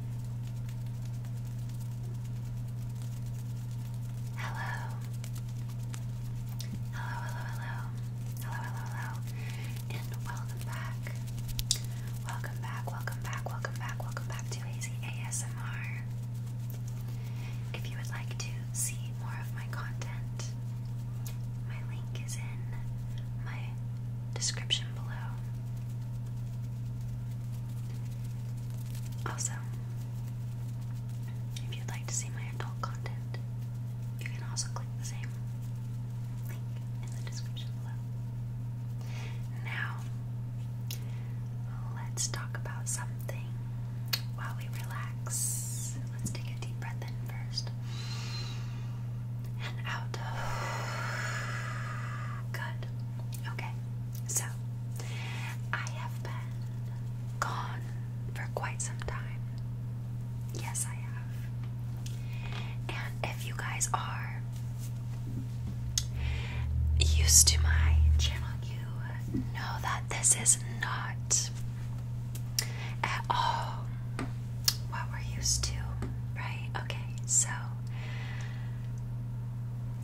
Hello. Hello, hello, hello. Hello, hello, hello. And welcome back. Welcome back, welcome back, welcome back, welcome back to Hazy ASMR. If you would like to see more of my content, my link is in my description also, if you'd like to see my adult content, you can also click the same link in the description below. Now, let's talk about something while we relax. Let's take a deep breath in first and out. Good. Okay, so I have been gone for quite some time. Yes, I have. And if you guys are used to my channel, you know that this is not at all what we're used to, right? Okay, so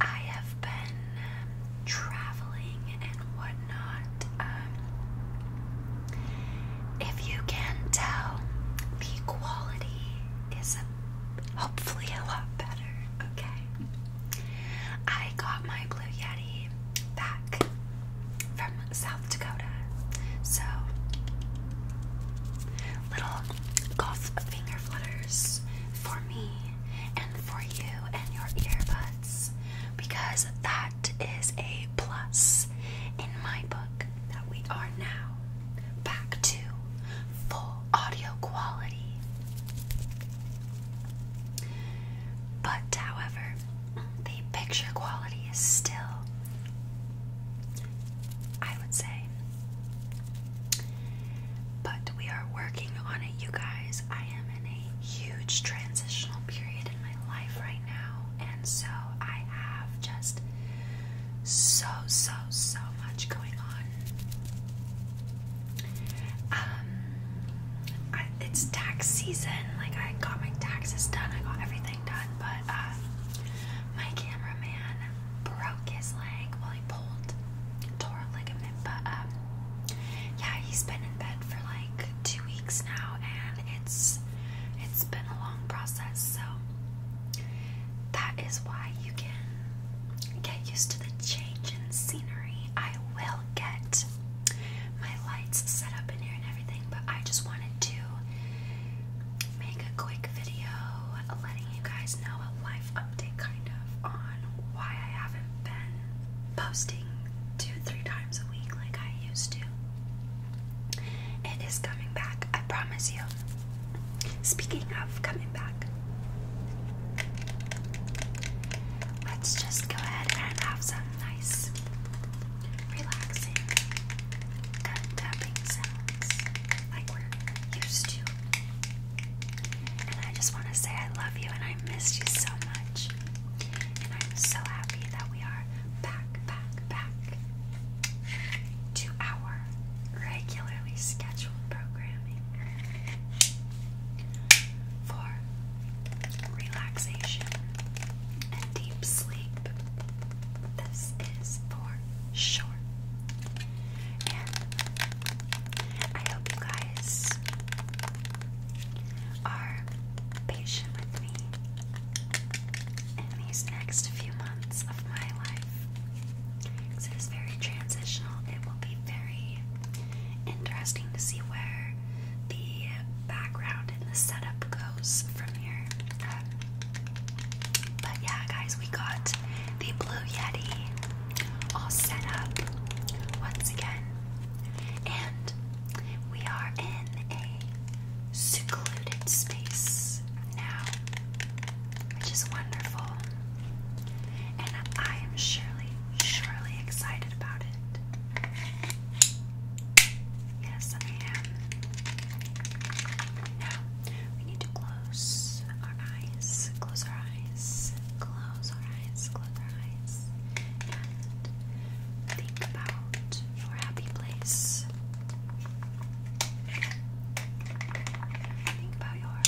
I have been um, traveling and whatnot. Um, if you can tell, the quality is hopefully a lot better. Okay. I got my Blue Yeti back from South Dakota, so little golf finger flutters for me and for you and your earbuds because that is a plus in my book that we are now back to full audio quality. But, however, the picture quality is still, I would say, but we are working on it, you guys. I am in a huge transitional period in my life right now, and so I have just so, so, so much going on. Um, it's tax season. Like I got my taxes done. I got everything done, but uh, my cameraman broke his leg while pulled torn ligament, but um, yeah, he's been in bed for like two weeks now, and it's it's been a long process. So that is why you can get used to the change in scenery. I will get my lights set up in here and everything, but I just wanted to make a quick video letting you guys know what update kind of on why I haven't been posting two, three times a week like I used to. It is coming back, I promise you. Speaking of coming back, let's just go ahead and have some nice, relaxing, gun sounds like we're used to. And I just want to say I love you and I missed you so much. And I'm so happy that we are back, back, back to our regularly scheduled programming for relaxation and deep sleep. This is for sure. And I hope you guys are patient with me in these next few months of my life. it is very transitional. It will be very interesting to see where the background and the setup goes from here. Um, but yeah, guys, we got the Blue Yeti all set up once again. And we are in a secluded space now, which is wonderful. And I am surely, surely excited about it. Yes, I am. Now, we need to close close our eyes, close our eyes, close our eyes, close our eyes, think about your happy place. Think about your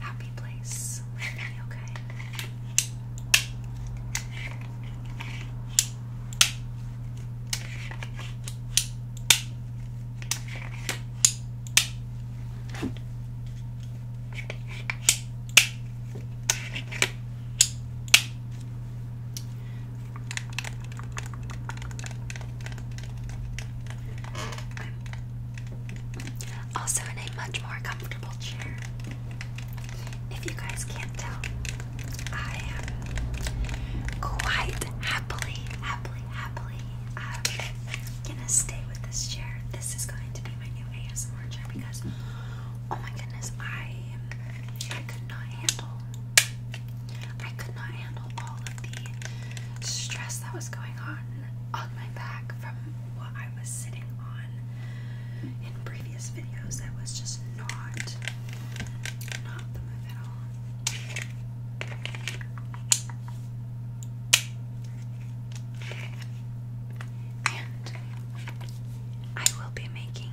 happy place okay? Also, in a much more comfortable chair. If you guys can't tell, I am quite happily, happily, happily, I'm gonna stay with this chair. This is going to be my new ASMR chair because, oh my goodness, I I could not handle. I could not handle all of the stress that was going on on my back from what I was sitting on in previous videos. That was just not not the move at all. And I will be making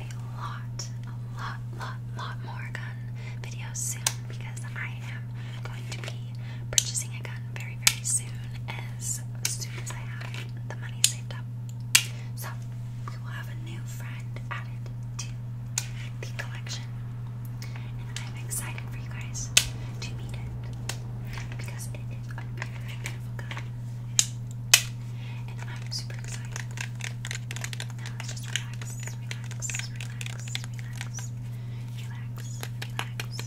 a lot, a lot, lot, lot more gun videos soon because I am going to be purchasing a gun very, very soon as soon as I have the money saved up. So we will have a new friend added to the collection, and I'm excited for you guys to meet it because it is a really beautiful gun, and I'm super excited. Now let's just relax, relax, relax, relax, relax, relax, relax, relax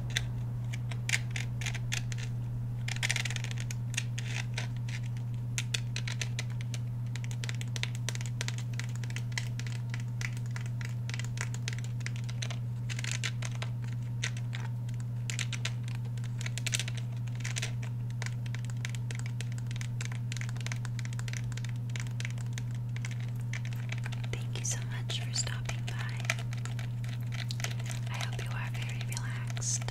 Thank you so much for stopping by. I hope you are very relaxed.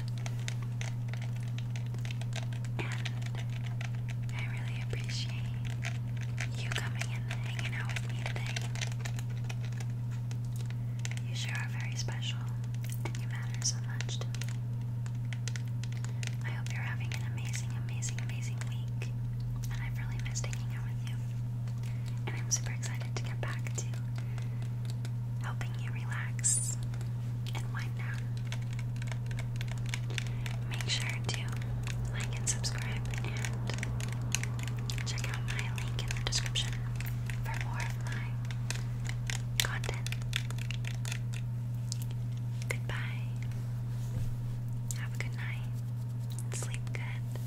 And I really appreciate you coming and hanging out with me today. You sure are very special, and you matter so much I hope you're having an amazing, amazing, amazing week, and I've really missed hanging out with and I'm super excited to get back to helping you relax and wind down. Make sure to like and subscribe and check out my link in the description for more of my content. Goodbye. Have a good night. Sleep good.